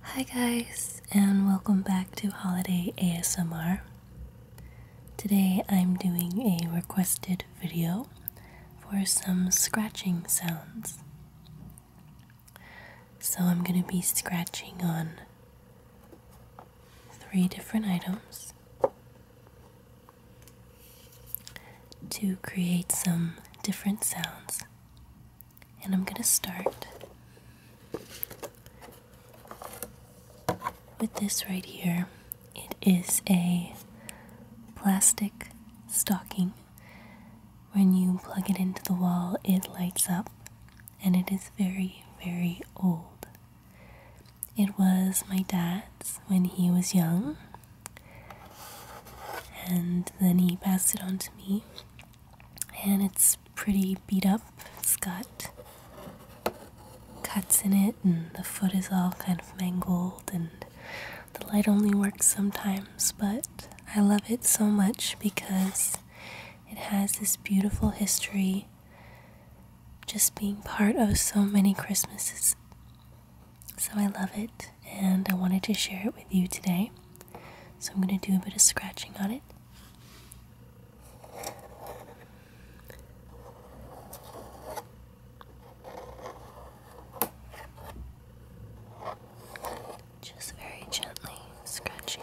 Hi, guys, and welcome back to Holiday ASMR. Today I'm doing a requested video for some scratching sounds. So I'm going to be scratching on three different items to create some different sounds and I'm going to start with this right here. It is a plastic stocking. When you plug it into the wall, it lights up, and it is very, very old. It was my dad's when he was young, and then he passed it on to me. And it's pretty beat up. It's got cuts in it, and the foot is all kind of mangled, and the light only works sometimes. But I love it so much because it has this beautiful history just being part of so many Christmases. So I love it and I wanted to share it with you today. So I'm going to do a bit of scratching on it. Just very gently scratching.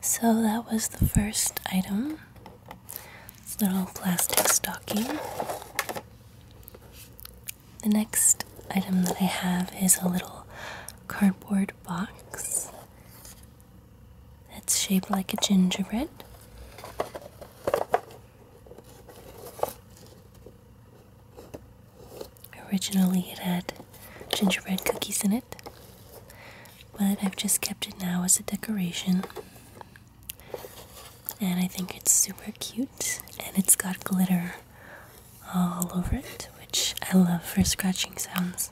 So that was the first item. This little plastic stocking. The next item that I have is a little cardboard box that's shaped like a gingerbread. Originally, it had gingerbread cookies in it, but I've just kept it now as a decoration. And I think it's super cute, and it's got glitter all over it, which I love for scratching sounds.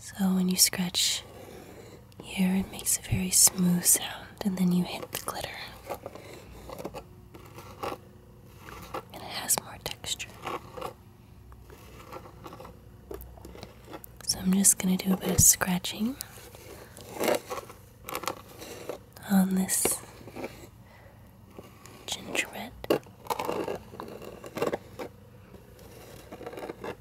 So, when you scratch here it makes a very smooth sound, and then you hit the glitter. And it has more texture. So I'm just going to do a bit of scratching on this gingerbread.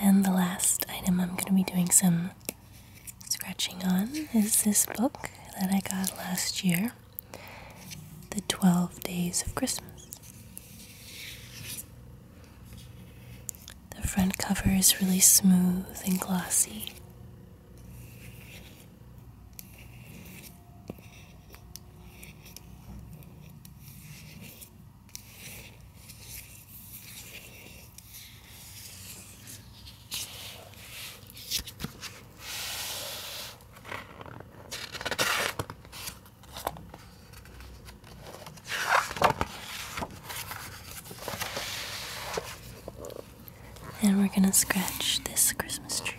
And the last item I'm going to be doing some scratching on is this book that I got last year The 12 Days of Christmas. The front cover is really smooth and glossy. And we're going to scratch this Christmas tree.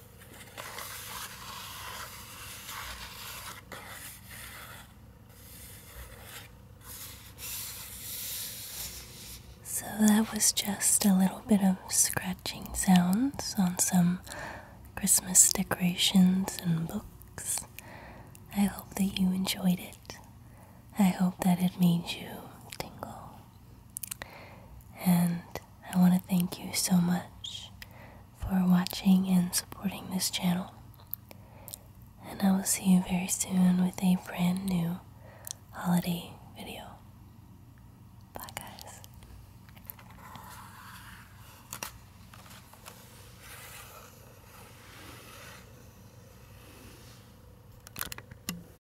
So that was just a little bit of scratching sounds on some Christmas decorations and books. I hope that you enjoyed it. I hope that it made you tingle. And I want to thank you so much for watching and supporting this channel. And I will see you very soon with a brand new holiday video. Bye, guys.